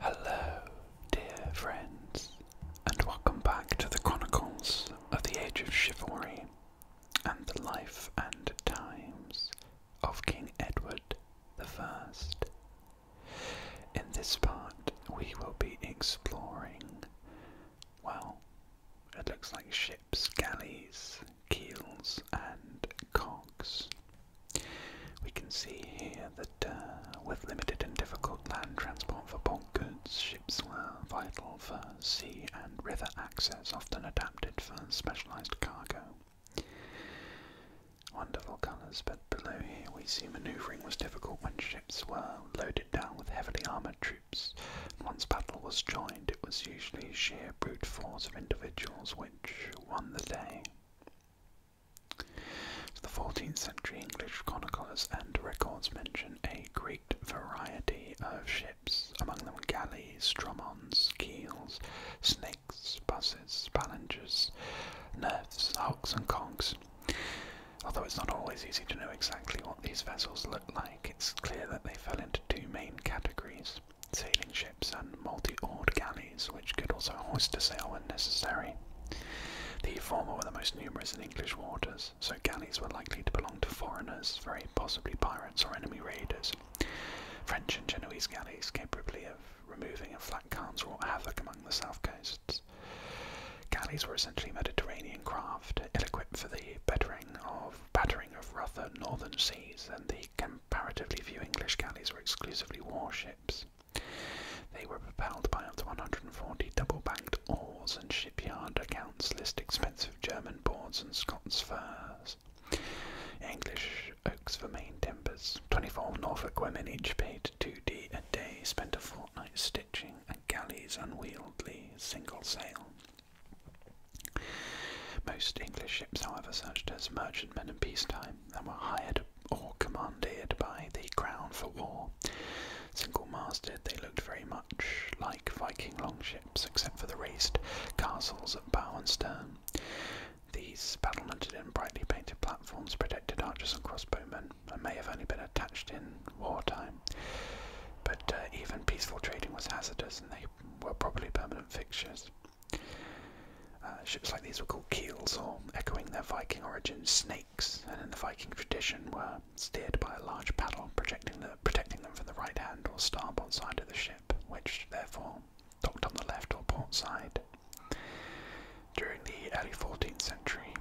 Hello, dear friends, and welcome back to the Chronicles of the Age of Chivalry and the Life and Times of King Edward I. In this part, we will be exploring, well, it looks like ships, galleys, keels, and cogs. We can see here that uh, with limited and difficult land transport for bulk goods, ships were vital for sea and river access, often adapted for specialized cargo. Wonderful colours, but below here we see manoeuvring was difficult when ships were loaded down with heavily armoured troops. Once battle was joined, it was usually sheer brute force of individuals which won the day the 14th century English chronicles and records mention a great variety of ships, among them galleys, dromons, keels, snakes, buses, balangers, nerfs, hulks, and cogs. Although it's not always easy to know exactly what these vessels looked like, it's clear that they fell into two main categories sailing ships and multi-oared galleys, which could also hoist a sail when necessary. The former were the most numerous in English waters, so galleys were likely to belong to foreigners, very possibly pirates or enemy raiders. French and Genoese galleys capable of removing a flat cans wrought havoc among the south coasts. Galleys were essentially Mediterranean craft, ill-equipped for the battering of battering of rougher northern seas and the comparatively few English galleys were exclusively warships. They were propelled by up to 140 double-banked oars, and shipyard accounts list expensive German boards and Scots furs, English oaks for main timbers. 24 Norfolk women, each paid 2d a day, spent a fortnight stitching at galleys unwieldly single sail. Most English ships, however, served as merchantmen in peacetime and were hired or commanded by the crown for war. Single masted, they looked very much like Viking longships, except for the raised castles at bow and stern. These battlemented and brightly painted platforms protected archers and crossbowmen and may have only been attached in wartime. But uh, even peaceful trading was hazardous and they were probably permanent fixtures. Uh, ships like these were called keels, or echoing their Viking origin, snakes, and in the Viking tradition were steered by a large paddle, protecting, them from the right hand or starboard side of the ship, which therefore docked on the left or port side. During the early 14th century,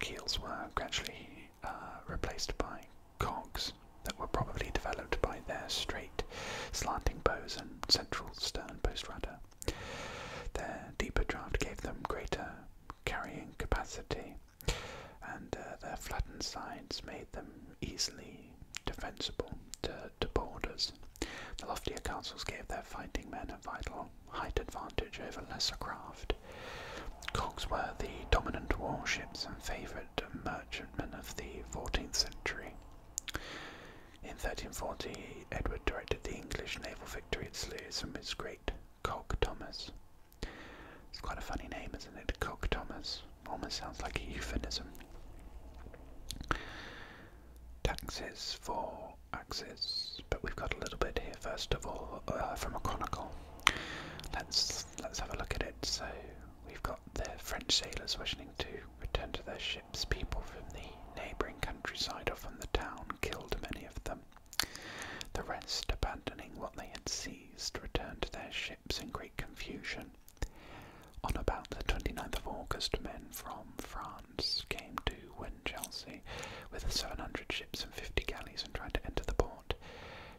keels were gradually uh, replaced by cogs that were probably developed by their straight, slanting bows and central stern post rudder. Their deeper draft gave them greater carrying capacity, and uh, their flattened sides made them easily defensible to, to borders. The loftier castles gave their fighting men a vital height advantage over lesser craft. Cogs were the dominant warships and favoured merchantmen of the 14th century. In 1340, Edward directed the English naval victory at Sluys from his great Cock Thomas. It's quite a funny name, isn't it? Cock Thomas. Almost sounds like a euphemism. Taxes for axes, but we've got a little bit here first of all uh, from a chronicle. Let's let's have a look at it. So we've got the French sailors wishing too returned to their ships. People from the neighbouring countryside or from the town killed many of them. The rest, abandoning what they had seized, returned to their ships in great confusion. On about the 29th of August, men from France came to Winchelsea with 700 ships and 50 galleys and tried to enter the port.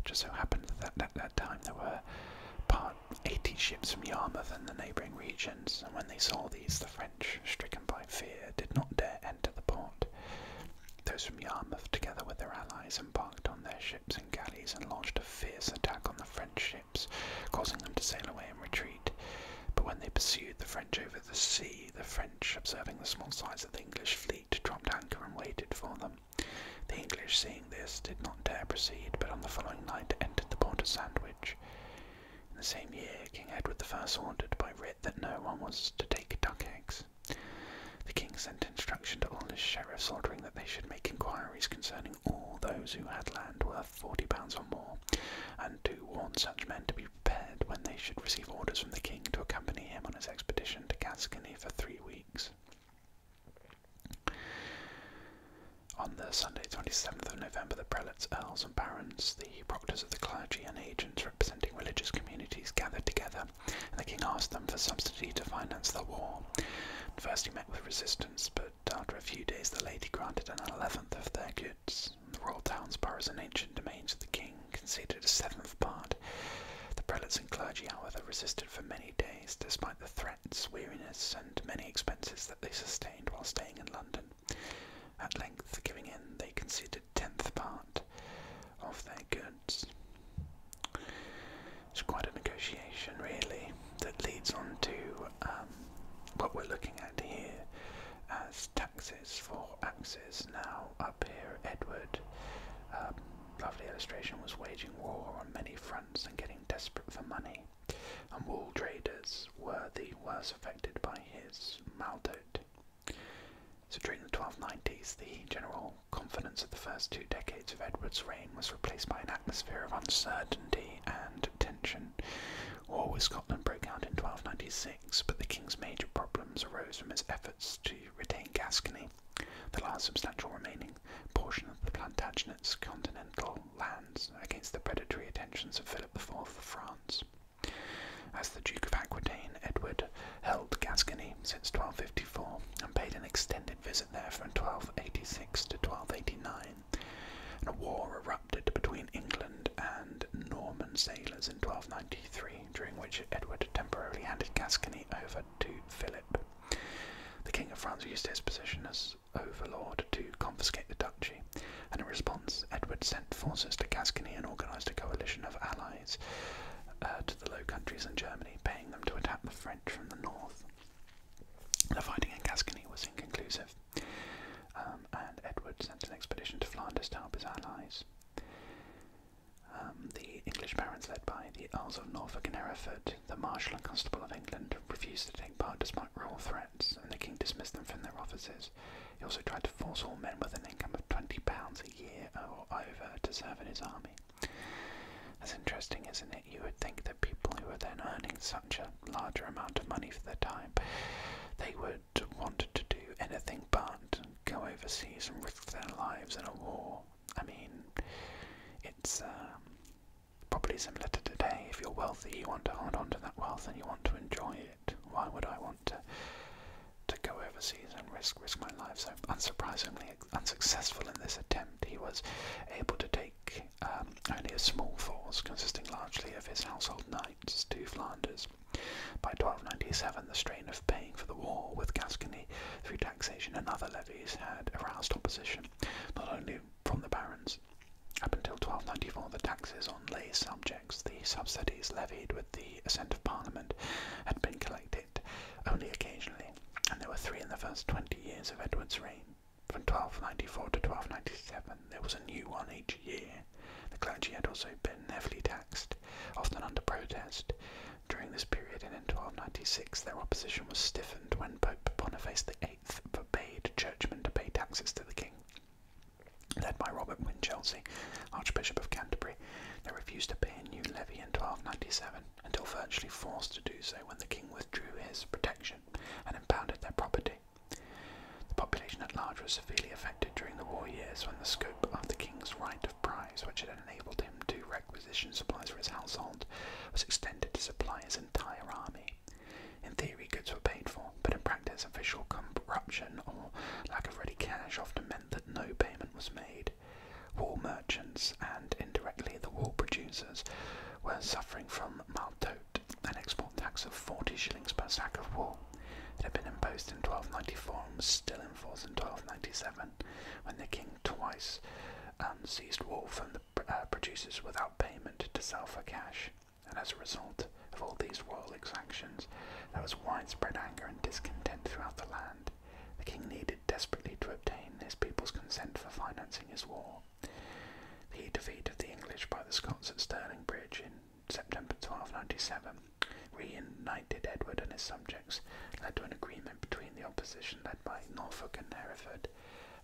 Just so happened that at that time there were part 80 ships from Yarmouth and the neighbouring regions, and when they saw these, the French stricken by fear, did not dare enter the port. Those from Yarmouth, together with their allies, embarked on their ships and galleys and launched a fierce attack on the French ships, causing them to sail away in retreat. But when they pursued the French over the sea, the French, observing the small size of the English fleet, dropped anchor and waited for them. The English, seeing this, did not dare proceed, but on the following night entered the port of Sandwich. In the same year, King Edward I ordered by writ that no one was to take duck eggs. The king sent instructions to all his sheriffs ordering that they should make inquiries concerning all those who had land worth £40 or more, and to warn such men to be prepared when they should receive orders from the king to accompany him on his expedition to Gascony for three weeks. On the Sunday 27th of November, the prelates, earls and barons, the proctors of the clergy and agents representing religious communities gathered together, and the king asked them for subsidy to finance the war. first he met with resistance, but after a few days the lady granted an eleventh of their goods. The royal towns, boroughs and ancient domains of the king conceded a seventh part. The prelates and clergy, however, resisted for many days, despite the threats, weariness and many expenses that they sustained while staying in London. At length giving in, they conceded tenth part of their goods. It's quite a negotiation, really, that leads on to um, what we're looking at here as taxes for axes. Now, up here, Edward, um, lovely illustration, was waging war on many fronts and getting desperate for money and wool traders were the worst affected by his maldote. So during the 1290s, the general confidence of the first two decades of Edward's reign was replaced by an atmosphere of uncertainty and tension. War with Scotland broke out in 1296, but the king's major problems arose from his efforts to retain Gascony, the last substantial remaining portion of the Plantagenet's continental lands, against the predatory attentions of Philip IV of France. As the Duke of Aquitaine, Edward held Gascony since 1254 and paid an extended visit there from 1286 to 1289. a war erupted between England and Norman sailors in 1293, during which Edward temporarily handed Gascony over to Philip. The King of France used his position as overlord to confiscate the duchy, and in response, Edward sent forces to Gascony and organised a coalition of allies uh, to the Low Countries and Germany, paying them to attack the French from the north. The fighting in Gascony was inconclusive, um, and Edward sent an expedition to Flanders to help his allies. Um, the English barons, led by the Earls of Norfolk and Hereford, the Marshal and Constable of England, refused to take part despite royal threats, and the King dismissed them from their offices. He also tried to force all men with an income of £20 a year or over to serve in his army. That's interesting, isn't it? You would think that people who were then earning such a larger amount of money for their time, they would want to do anything but go overseas and risk their lives in a war. I mean, it's um, probably similar to today. If you're wealthy, you want to hold on to that wealth and you want to enjoy it. Why would I want to go overseas and risk risk my life? So unsurprisingly unsuccessful in this attempt, he was able to take um, only a small force consisting largely of his household knights to Flanders. By 1297, the strain of paying for the war with Gascony through taxation and other levies had aroused opposition, not only from the barons up until 1294, the taxes on lay subjects, the subsidies levied with the assent of Parliament, had been collected only occasionally, and there were three in the first 20 years of Edward's reign. From 1294 to 1297, there was a new one each year. The clergy had also been heavily taxed, often under protest. During this period and in 1296, their opposition was stiffened when Pope Boniface VIII forbade churchmen to pay taxes to the king led by Robert Winchelsea, Archbishop of Canterbury. They refused to pay a new levy in 1297 until virtually forced to do so when the king withdrew his protection and impounded their property. The population at large was severely affected during the war years when the scope of the king's right of prize, which had enabled him to requisition supplies for his household, was extended to supply his entire army. In theory, goods were paid for, but in practice, official corruption or lack of ready cash often meant that no payment was made. Wool merchants and indirectly the wool producers were suffering from maltote, an export tax of 40 shillings per sack of wool. It had been imposed in 1294 and was still in force in 1297, when the king twice um, seized wool from the uh, producers without payment to sell for cash and as a result of all these royal exactions, there was widespread anger and discontent throughout the land. The king needed desperately to obtain his people's consent for financing his war. The defeat of the English by the Scots at Stirling Bridge in September 1297 reunited Edward and his subjects, led to an agreement between the opposition led by Norfolk and Hereford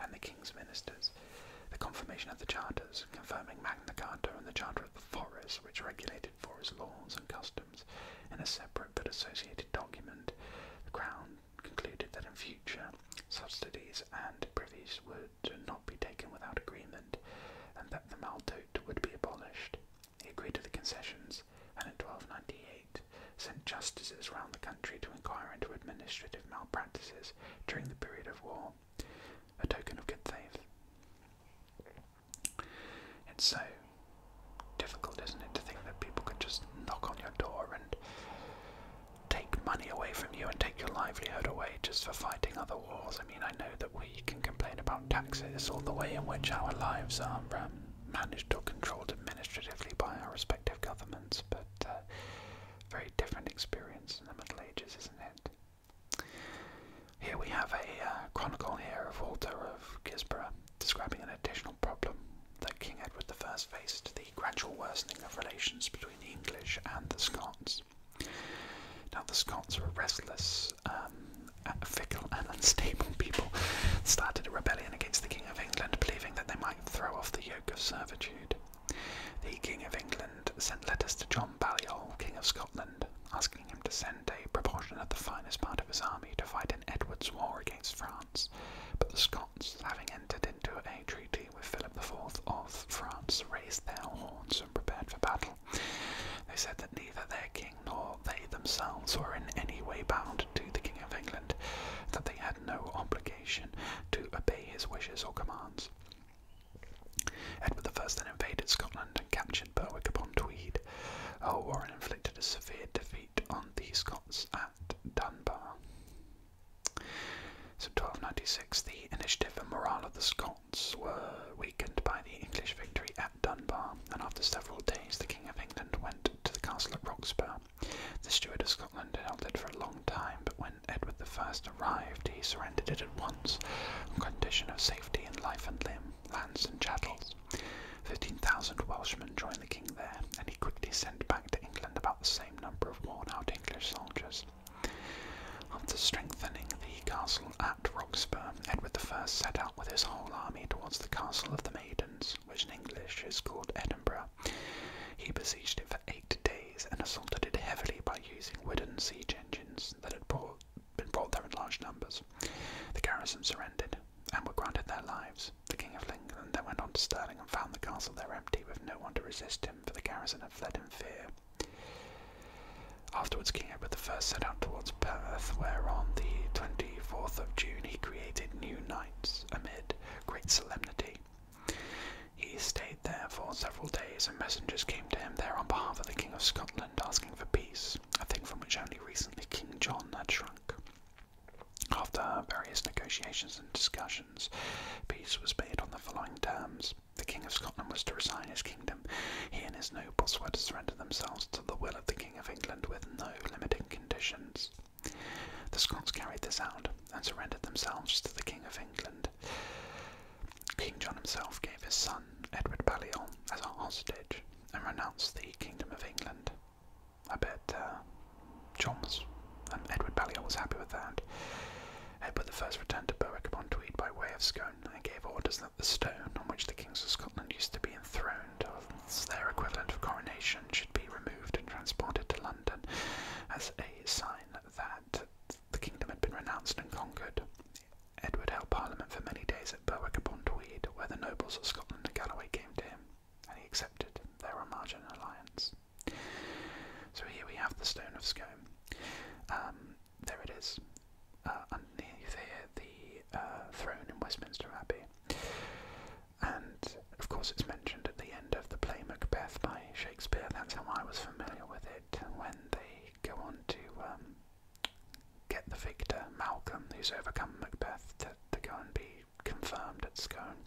and the king's ministers. The confirmation of the charters confirming Magna Carta and the Charter of the Forest, which regulated forest laws and customs in a separate but associated document. The Crown concluded that in future, subsidies and privies would not be taken without agreement, and that the Maldote would be abolished. He agreed to the concessions, and in 1298 sent justices round the country to inquire into administrative malpractices during the period of war a token of good faith. It's so difficult, isn't it, to think that people could just knock on your door and take money away from you and take your livelihood away just for fighting other wars. I mean, I know that we can complain about taxes or the way in which our lives are um, managed or controlled administratively by our respective governments, but uh, very different experience in the Middle Ages, isn't it? Here we have a uh, chronicle here of Walter of Gisborough describing an additional problem that King Edward I faced the gradual worsening of relations between the English and the Scots. Now, the Scots were restless, um, fickle, and unstable people, started a rebellion against the King of England, believing that they might throw off the yoke of servitude. The King of England sent letters to John Balliol, King of Scotland asking him to send a proportion of the finest part of his army to fight in Edward's war against France. But the Scots, having entered into a treaty with Philip IV of France, raised their horns and prepared for battle. They said that neither their king nor they themselves were in any way bound to the King of England, that they had no obligation to obey his wishes or commands. Edward I then invaded Scotland and captured Berwick upon Tweed. Earl Warren inflicted a severe defeat on the Scots at Dunbar. So 1296, the initiative and morale of the Scots were weakened by the English victory at Dunbar, and after several days the King of England went to the castle of Roxburgh. The Steward of Scotland held it for a long time, but when Edward I arrived, he surrendered it at once, on condition of safety in life and limb, lands and chattels. Fifteen thousand Welshmen joined the king there, and he quickly sent back to England about the same number of worn-out English soldiers. After strengthening the castle at Roxburgh, Edward I set out with his whole army towards the Castle of the Maidens, which in English is called Edinburgh. He besieged it for eight days and assaulted it heavily by using wooden siege engines that had brought been brought there in large numbers. The garrison surrendered and were granted their lives. The King of England then went on to Stirling and found the castle there empty with no one to resist him, for the garrison had fled in fear. Afterwards, King Edward I set out towards Perth, where on the 24th of June he created new knights amid great solemnity. He stayed there for several days, and messengers came to him there on behalf of the King of Scotland asking for peace, a thing from which only recently King John had shrunk. After various negotiations and discussions, peace was made on the following terms. The King of Scotland was to resign his kingdom. He and his nobles were to surrender themselves to the will of the King of England with no limiting conditions. The Scots carried this out and surrendered themselves to the King of England. King John himself gave his son, Edward Balliol, as a hostage and renounced the Kingdom of England. I bet uh, John was, Edward Balliol was happy with that. Edward I returned to Berwick upon Tweed by way of Scone and gave orders that the stone on which the kings of Scotland used to be enthroned, as their equivalent of coronation, should be removed and transported to London as a sign that the kingdom had been renounced and conquered. Edward held Parliament for many days at Berwick upon Tweed, where the nobles of Scotland and Galloway came to him, and he accepted their margin alliance. So here we have the Stone of Scone. Um, there it is, uh, underneath here, the uh, throne in Westminster Abbey. And of course, it's mentioned at the end of the play Macbeth by Shakespeare. That's how I was familiar with it when they go on to um, get the victor, Malcolm, who's overcome Macbeth, to, to go and be confirmed at Scone.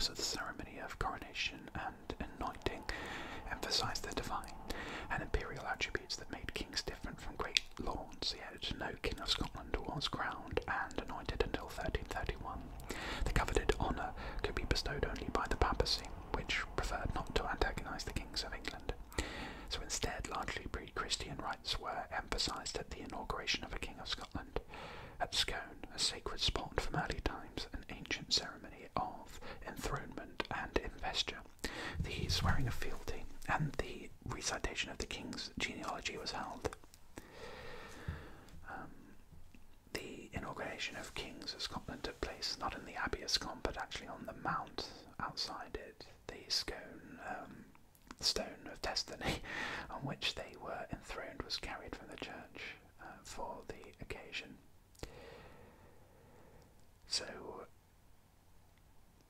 So the ceremony of coronation and anointing emphasised the divine and imperial attributes that made kings different from great lords, yet no king of Scotland was crowned and anointed until 1331. The coveted honour could be bestowed only by the papacy, which preferred not to antagonise the kings of England. So instead, largely pre-Christian rites were emphasised at the inauguration of a King of Scotland. At Scone, a sacred spot from early times, an ancient ceremony of enthronement and investiture, The swearing of fealty and the recitation of the king's genealogy was held. Um, the inauguration of kings of Scotland took place not in the Abbey of Scone but actually on the Mount outside it the scone, um, stone of destiny on which they were enthroned was carried from the church uh, for the occasion. So,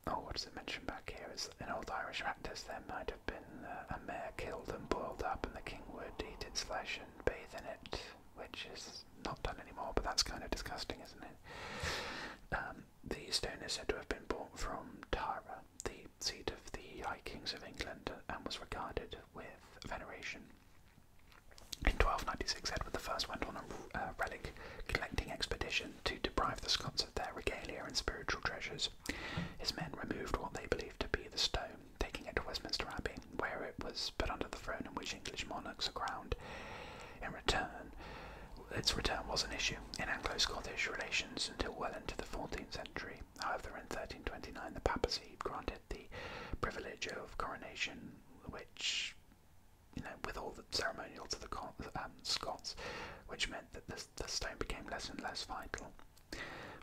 oh, what does it mention back here? Is in old Irish practice there might have been uh, a mare killed and boiled up, and the king would eat its flesh and bathe in it, which is not done anymore, but that's kind of disgusting, isn't it? Um, the stone is said to have been brought from Tara, the seat of the High Kings of England, and was regarded with veneration. In 1296, Edward the First went on a uh, relic collecting expedition to deprive the Scots of their regalia and spiritual treasures. His men removed what they believed to be the stone, taking it to Westminster Abbey, where it was put under the throne in which English monarchs are crowned. In return, its return was an issue in Anglo-Scottish relations until well into the 14th century. However, in 1329 the papacy granted the privilege of coronation, which, you know, with all the ceremonial to the um, Scots, which meant that the stone became less and less vital.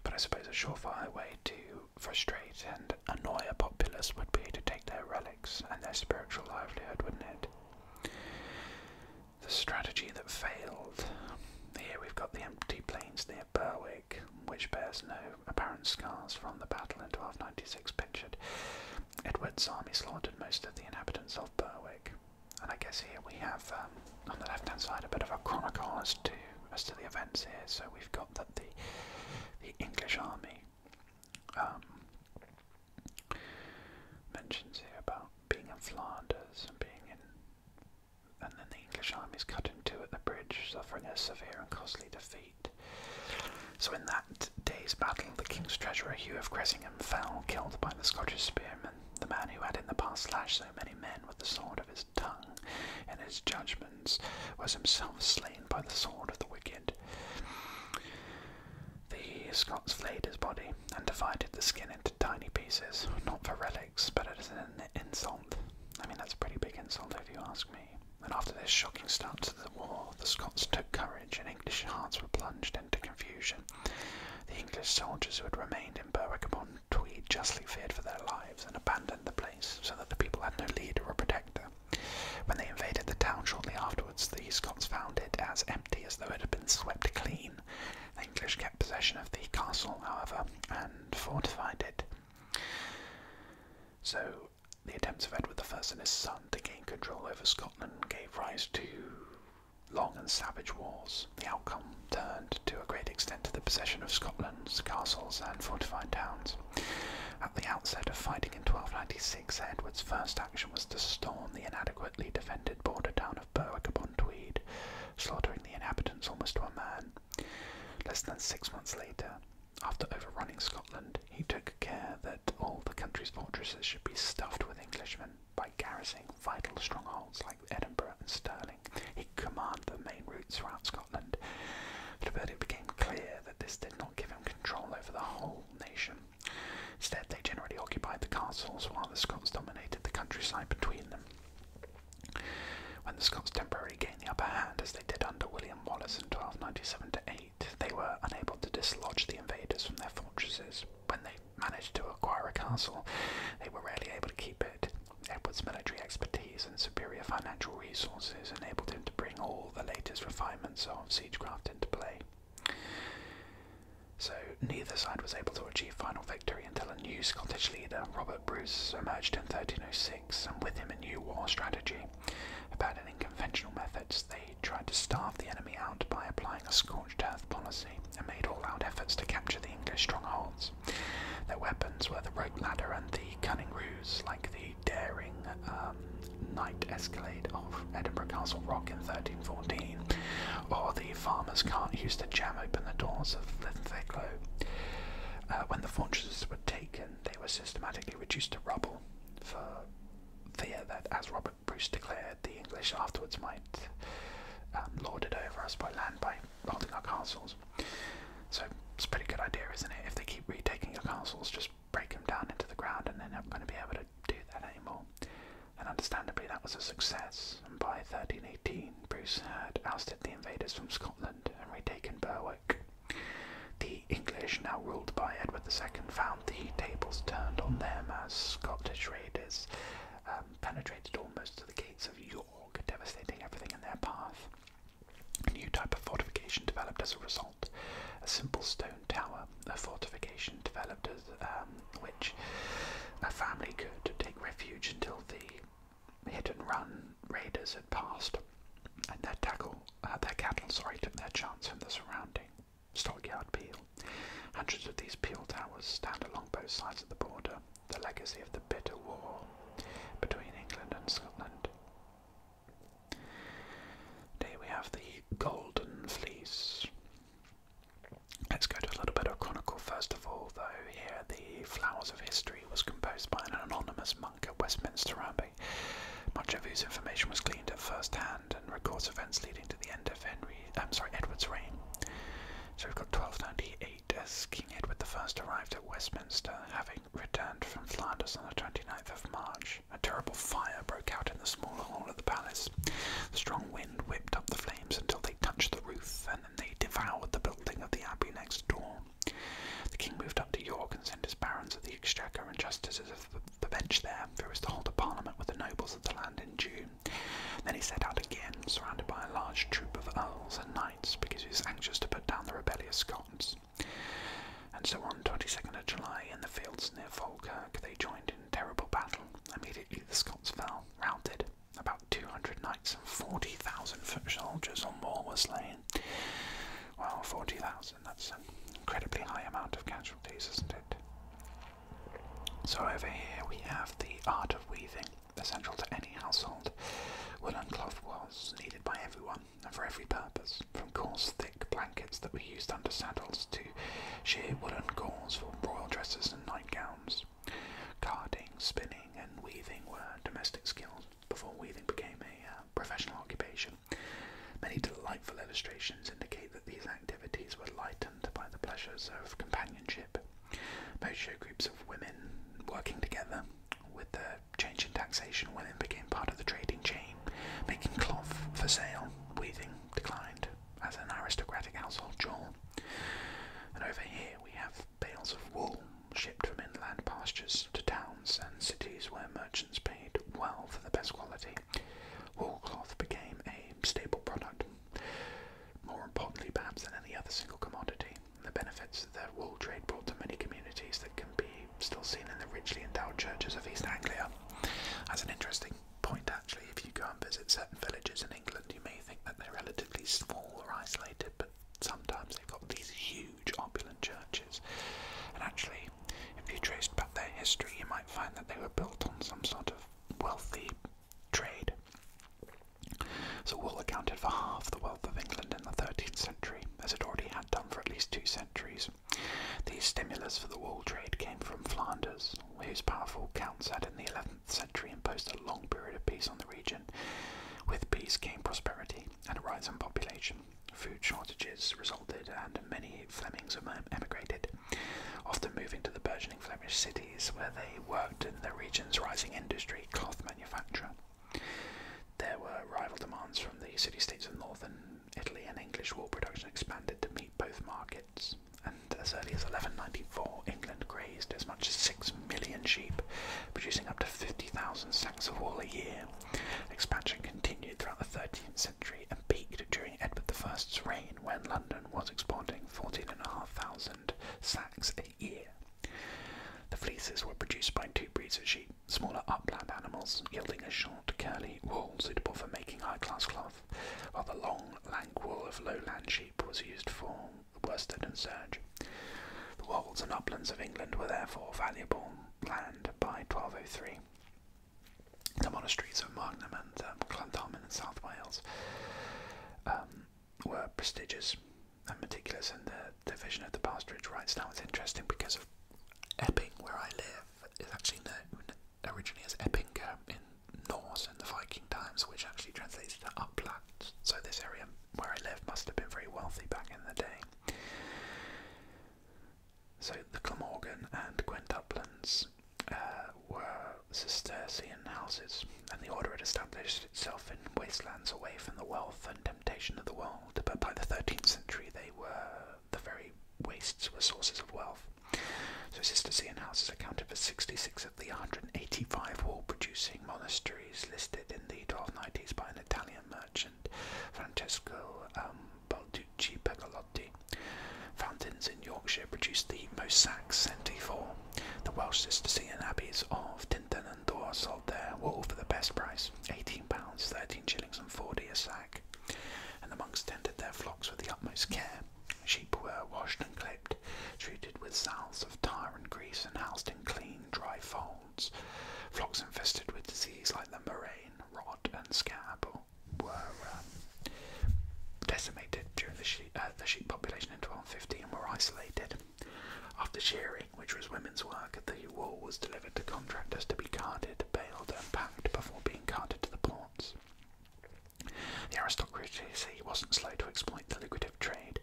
But I suppose a surefire way to frustrate and annoy a populace would be to take their relics and their spiritual livelihood, wouldn't it? The strategy that failed. Here we've got the empty plains near Berwick, which bears no apparent scars from the battle in 1296 pictured. Edward's army slaughtered most of the inhabitants of Berwick. And I guess here we have, um, on the left hand side, a bit of a chronicle as to, as to the events here. So we've got that the, the English army um, mentions here about being in Flanders and being in. And then the English army is cut in two at the bridge, suffering a severe and costly defeat. So, in that day's battle, the king's treasurer Hugh of Cressingham fell, killed by the Scottish spearman. the man who had in the past slashed so many men with the sword of his tongue and his judgments, was himself slain by the sword of the wicked. The Scots flayed his body and divided the skin into tiny pieces, not for relics, but as an insult. I mean, that's a pretty big insult if you ask me. And after this shocking start to the war, the Scots took courage and English hearts were plunged into confusion. The English soldiers who had remained in Berwick upon Tweed justly feared for their lives and abandoned the place so that the people had no leader or protector. When they invaded the town shortly afterwards, the Scots found it as empty as though it had been swept clean. The English kept possession of the castle, however, and fortified it. So, the attempts of Edward I and his son to gain control over Scotland gave rise to long and savage wars. The outcome turned to a great extent to the possession of Scotland's castles and fortified towns. At the outset of fighting in 1296, Edward's first action was to storm the inadequately defended border town of Berwick upon Tweed, slaughtering the inhabitants almost to a man. Less than six months later, after overrunning Scotland, he took care that all the country's fortresses should be stuffed with Englishmen. By garrisoning vital strongholds like Edinburgh and Stirling, he commanded the main routes throughout Scotland. But it became clear that this did not give him control over the whole nation. Instead, they generally occupied the castles while the Scots dominated the countryside between them. When the Scots temporarily gained the upper hand, as they did under William Wallace in 1297 8, they were unable to dislodge the invaders from their fortresses. When they managed to acquire a castle, they were rarely able to keep it. Edward's military expertise and superior financial resources enabled him to bring all the latest refinements of siegecraft into play. So neither side was able to achieve final victory until a new Scottish leader, Robert Bruce, emerged in 1306, and with him a new war strategy. Abandoning conventional methods, they tried to starve the enemy out by applying a scorched earth policy and made all-out efforts to capture the English strongholds. Their weapons were the rope ladder and the cunning ruse, like the daring uh, Night Escalade of Edinburgh Castle Rock in 1314, or the farmer's can't use to jam open the doors of Linlithgow. Uh, when the fortresses were taken, they were systematically reduced to rubble, for fear that, as Robert Bruce declared, the English afterwards might um, lord it over us by land by holding our castles. So it's a pretty good idea, isn't it? If they keep retaking your castles, just break him down into the ground, and they're not going to be able to do that anymore. And understandably, that was a success. And by 1318, Bruce had ousted the invaders from Scotland and retaken Berwick. The English, now ruled by Edward II, found the tables turned on them as Scottish raiders um, penetrated almost to the gates of York, devastating everything in their path. A new type of fortification developed as a result a simple stone tower, a fortification developed um, which a family could take refuge until the hit-and-run raiders had passed, and their cattle, uh, their cattle, sorry, took their chance from the surrounding stockyard peel. Hundreds of these peel towers stand along both sides of the border, the legacy of the bitter war between England and Scotland. Today we have the Golden Fleece, Let's go to a little bit of chronicle first of all, though. Here, the Flowers of History was composed by an anonymous monk at Westminster Abbey, much of whose information was gleaned at first hand and records events leading to the end of Henry. I'm sorry, Edward's reign. So we've got 1298 as King Edward I arrived at Westminster, having returned from Flanders on the 29th of March. A terrible fire broke out in the small hall of the palace. The strong wind whipped up the flames until they touched the roof, and then they devoured the building of the abbey next door. The king moved up to York and sent his barons of the exchequer and justices of the bench there, who was to hold a parliament with the nobles of the land in June. Then he set out again, surrounded by a large troop of earls and knights, because he was anxious to put down the rebellious Scots. And so on 22 July, in the fields near Falkirk, they joined terrible battle. Immediately the Scots fell, routed. About 200 knights and 40,000 foot soldiers or more were slain. Well, 40,000, that's an incredibly high amount of casualties, isn't it? So over here we have the art of weaving, essential to any household. Woolen cloth was needed by everyone and for every purpose, from coarse, thick, black blankets that were used under saddles to shear woolen gauze for royal dresses and nightgowns. Carding, spinning, and weaving were domestic skills before weaving became a uh, professional occupation. Many delightful illustrations indicate that these activities were lightened by the pleasures of companionship. Both show groups of women working together. With the change in taxation, women became part of the trading chain, making cloth for sale. Weaving declined as an aristocratic household chore. And over here we have bales of wool shipped from inland pastures to towns and cities where merchants paid well for the best quality. Wool cloth became a staple product. More importantly, perhaps, than any other single commodity, the benefits that wool trade brought to many communities that can be still seen in the richly endowed churches of East Anglia. That's an interesting point actually. If you go and visit certain villages in England, you may think that they're relatively small or isolated, but sometimes they've got these huge opulent churches. And actually, if you trace back their history, you might find that they were built on some sort of wealthy trade. So wool accounted for half the wealth of England in the 13th century, as it already had done for at least two centuries. These stimulus for the wool trade came from Flanders, whose powerful counts had in the 11th century imposed a long period of peace on the region. With peace came prosperity and a rise in population. Food shortages resulted, and many Flemings emigrated, often moving to the burgeoning Flemish cities where they worked in the region's rising industry, cloth manufacture. There were rival demands from the city states of northern Italy, and English wool production expanded to meet both markets and as early as 1194, England grazed as much as 6 million sheep, producing up to 50,000 sacks of wool a year. Expansion continued throughout the 13th century and peaked during Edward I's reign when London was exporting 14,500 sacks a year. The fleeces were produced by two breeds of sheep, smaller upland animals, yielding a short, curly wool suitable for making high-class cloth while the long, lank wool of lowland sheep was used for worsted and serge. The wolds and uplands of England were therefore valuable land by 1203. The monasteries of Magnum and um, in South Wales um, were prestigious and meticulous in the division of the pasturage rights. Now it's interesting because of Epping, where I live, is actually known originally as Eppinga in Norse in the Viking times, which actually translates to uplands. So this area where I live must have been very wealthy back in the day. So the Glamorgan and Gwent uh, were Cistercian houses, and the order had established itself in wastelands away from the wealth and temptation of the world. But by the 13th century, they were the very wastes were sources of wealth. The Cistercian houses accounted for 66 of the 185 wool-producing monasteries listed in the 1290s by an Italian merchant, Francesco um, Balducci Pegalotti. Fountains in Yorkshire produced the most Mossack Centifor. The Welsh Cistercian abbeys of Tintern and Dore sold their wool for the best price, £18, 13 shillings and 40 a sack, and the monks tended their flocks with the utmost care. Sheep were washed and clipped, treated with salves of tar and grease, and housed in clean, dry folds. Flocks infested with diseases like the murrain, rot, and scab were um, decimated during the sheep, uh, the sheep population in 1250 and were isolated. After shearing, which was women's work, the wool was delivered to contractors to be carded, baled, and packed before being carted to the ports. The aristocracy wasn't slow to exploit the lucrative trade.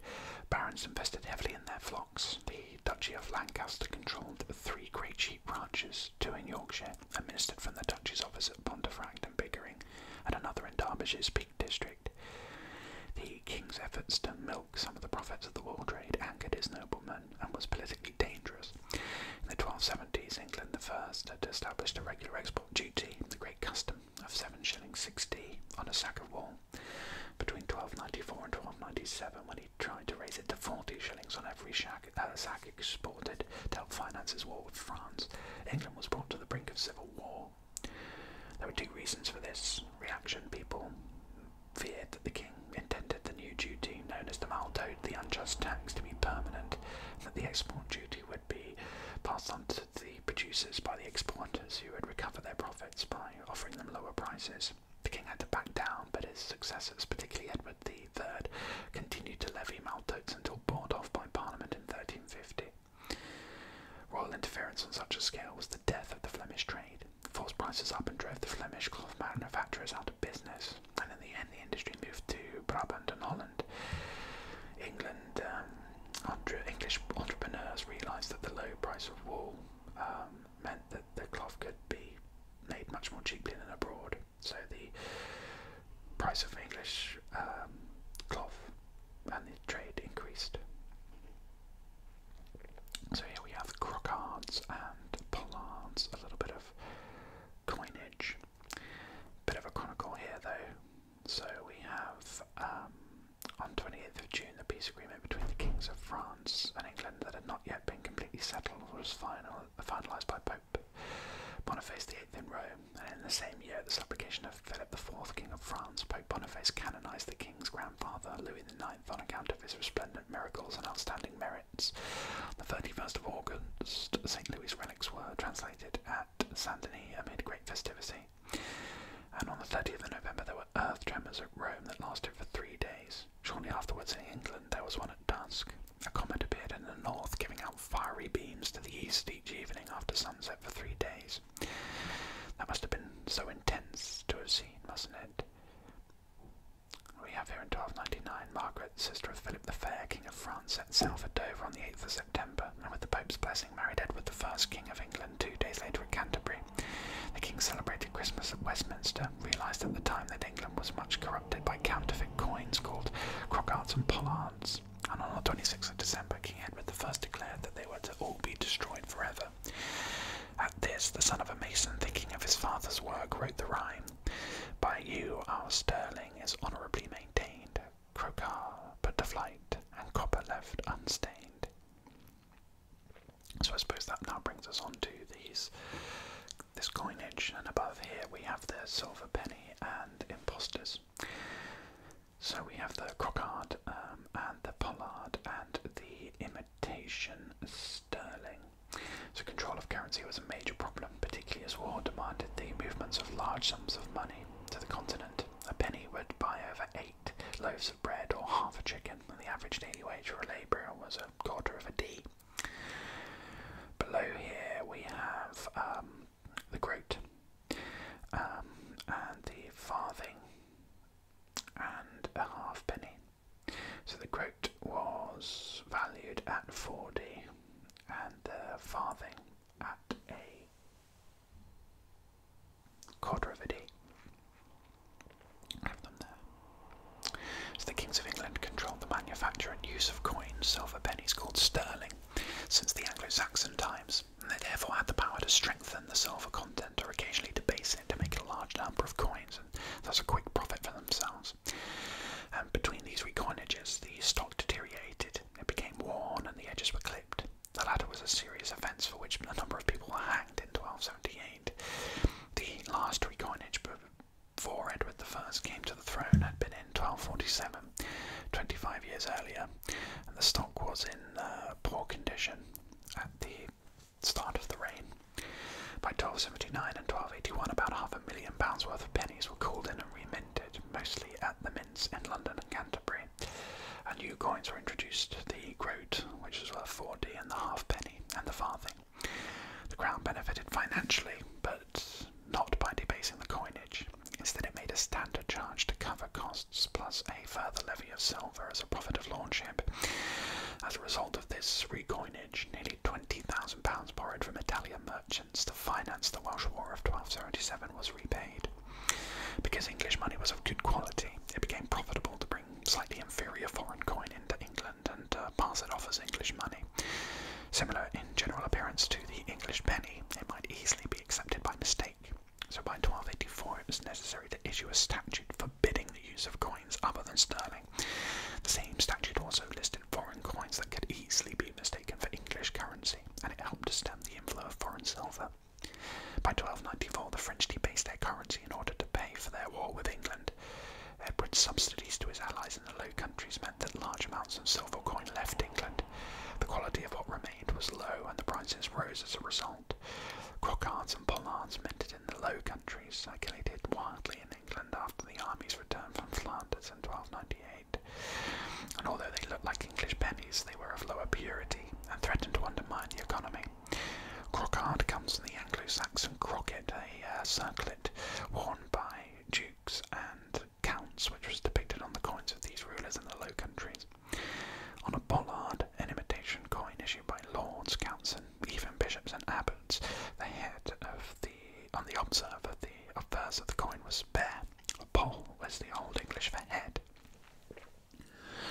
Barons invested heavily in their flocks. The Duchy of Lancaster controlled three great sheep ranches, two in Yorkshire, administered from the Duchy's office at Pontefract and Bickering, and another in Derbyshire's Peak District. The king's efforts to milk some of the profits of the wool trade angered his noblemen and was politically dangerous. In the 1270s, England I had established a regular export the great custom of seven shillings sixty on a sack of wool between 1294 and 1297 when he tried to raise it to 40 shillings on every uh, sack exported to help finance his war with France. England was brought to the brink of civil war. There were two reasons for this reaction. People feared that the king intended the new duty known as the Maldode, the unjust tax, to be permanent, and that the export duty would be passed on to the producers by the exporters, who would recover their profits by offering them lower prices. The king had to back down, but his successors, particularly Edward III, continued to levy maltose until bought off by Parliament in 1350. Royal interference on such a scale was the death of the Flemish trade, forced prices up and drove the Flemish cloth manufacturers out of business, and in the end the industry moved to Brabant and Holland. England, um, English entrepreneurs realised that the low price of wool um, meant that the cloth could be made much more cheaply than abroad. So the price of English um, cloth and the trade increased. So here we have crocards and pollards, a little bit of coinage. Bit of a chronicle here though. So we have um, on 28th of June the peace agreement between the kings of France and England that had not yet been completely settled was final, finalised by Pope Boniface VIII in Rome, and in the same year, the supplication of Philip IV, King of France, Pope Boniface canonised the king's grandfather Louis IX on account of his resplendent miracles and outstanding merits. the 31st of August, St Louis relics were translated at Saint Denis amid great festivity. And on the 30th of November, there were earth tremors at Rome that lasted for three days. Shortly afterwards, in England, there was one at dusk. A comet appeared in the north, giving out fiery beams to the east each evening after sunset for three days. That must have been so intense to have seen, mustn't it? We have here in 1299 Margaret, sister of Philip the Fair, King of France, at sail for Dover on the 8th of September. September, and with the Pope's blessing, married Edward I, King of England, two days later at Canterbury. The King celebrated Christmas at Westminster, realised at the time that England was much corrupted by counterfeit coins called crocarts and pollards, and on the 26th of December, King Edward I declared that they were to all be destroyed forever. At this, the son of a mason, thinking of his father's work, wrote the rhyme, By you our sterling is honourably maintained, Crocodile put to flight, and copper left unstained. So I suppose that now brings us on to these this coinage, and above here we have the silver penny and impostors. So we have the crocard um, and the pollard and the imitation sterling. So control of currency was a major problem, particularly as war demanded the movements of large sums of money to the continent. A penny would buy over eight loaves of bread or half a chicken, the average daily wage for a labourer was a quarter of a D. Below here we have um, the groat um, and the farthing and a halfpenny. So the groat was valued at 4D and the farthing at a quarter of a d. Have them there. So the kings of England controlled the manufacture and use of coins, silver pennies called sterling, since the Anglo-Saxon times, and they therefore had the power to strengthen the silver content or occasionally debase it to make a large number of coins, and thus a quick profit for themselves. And um, between these recoinages, the stock deteriorated, it became worn, and the edges were clipped. The latter was a serious offence for which a number of people were hanged in 1278. The last recoinage before Edward I came to the throne had been in 1247, 25 years earlier, and the stock was in uh, poor condition at the start of the reign. By 1279 and 1281, about half a million pounds worth of pennies were called in and reminted, mostly at the mints in London and Canterbury new coins were introduced the groat, which was worth 4d, and the halfpenny, and the farthing. The crown benefited financially, but not by debasing the coinage. Instead, it made a standard charge to cover costs, plus a further levy of silver as a profit of lordship. As a result of this recoinage, nearly £20,000 borrowed from Italian merchants to finance the Welsh War of 1277 was repaid. Because English money was of good quality, it became profitable to bring slightly inferior foreign coin into England and uh, pass it off as English money. Similar in general appearance to the English penny, it might easily be accepted by mistake. So by 1284, it was necessary to issue a statute forbidding the use of coins other than sterling. The same statute also listed foreign coins that could easily be mistaken for English currency, and it helped to stem the inflow of foreign silver. By 1294, the French debased their currency in order to pay for their war with England. Edward's subsidies to his allies in the Low Countries meant that large amounts of silver coin left England. The quality of what remained was low, and the prices rose as a result. Croquards and pollards minted in the Low Countries circulated wildly in England after the armies returned from Flanders in 1298. And although they looked like English pennies, they were of lower purity and threatened to undermine the economy. Crockard comes from the Anglo Saxon crocket, a uh, circlet worn by dukes and counts, which was depicted on the coins of these rulers in the Low Countries. On a bollard, an imitation coin issued by lords, counts, and even bishops and abbots, the head of the on the obverse of the obverse of the coin was bare, Pole was the Old English for head.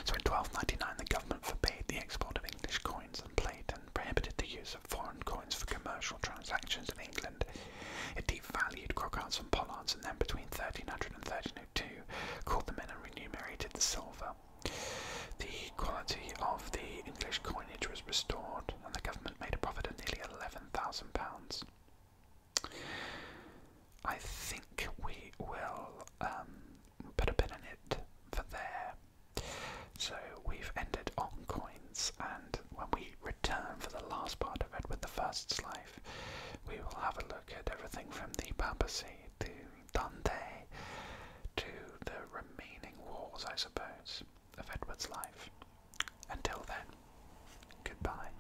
So in 1299 the government forbade the export of English coins and plate and prohibited the use of foreign coins for commercial transactions in England. It devalued crockards and pollards and then between 1300 and 1302 called them in and remunerated the silver. The quality of the English coinage was restored and the government made a profit of nearly £11,000. I think we will um, put a pin in it for there. So we've ended on coins, and when we return for the last part of Edward the First's life, we will have a look at everything from the papacy to Dante to the remaining wars, I suppose, of Edward's life. Until then, goodbye.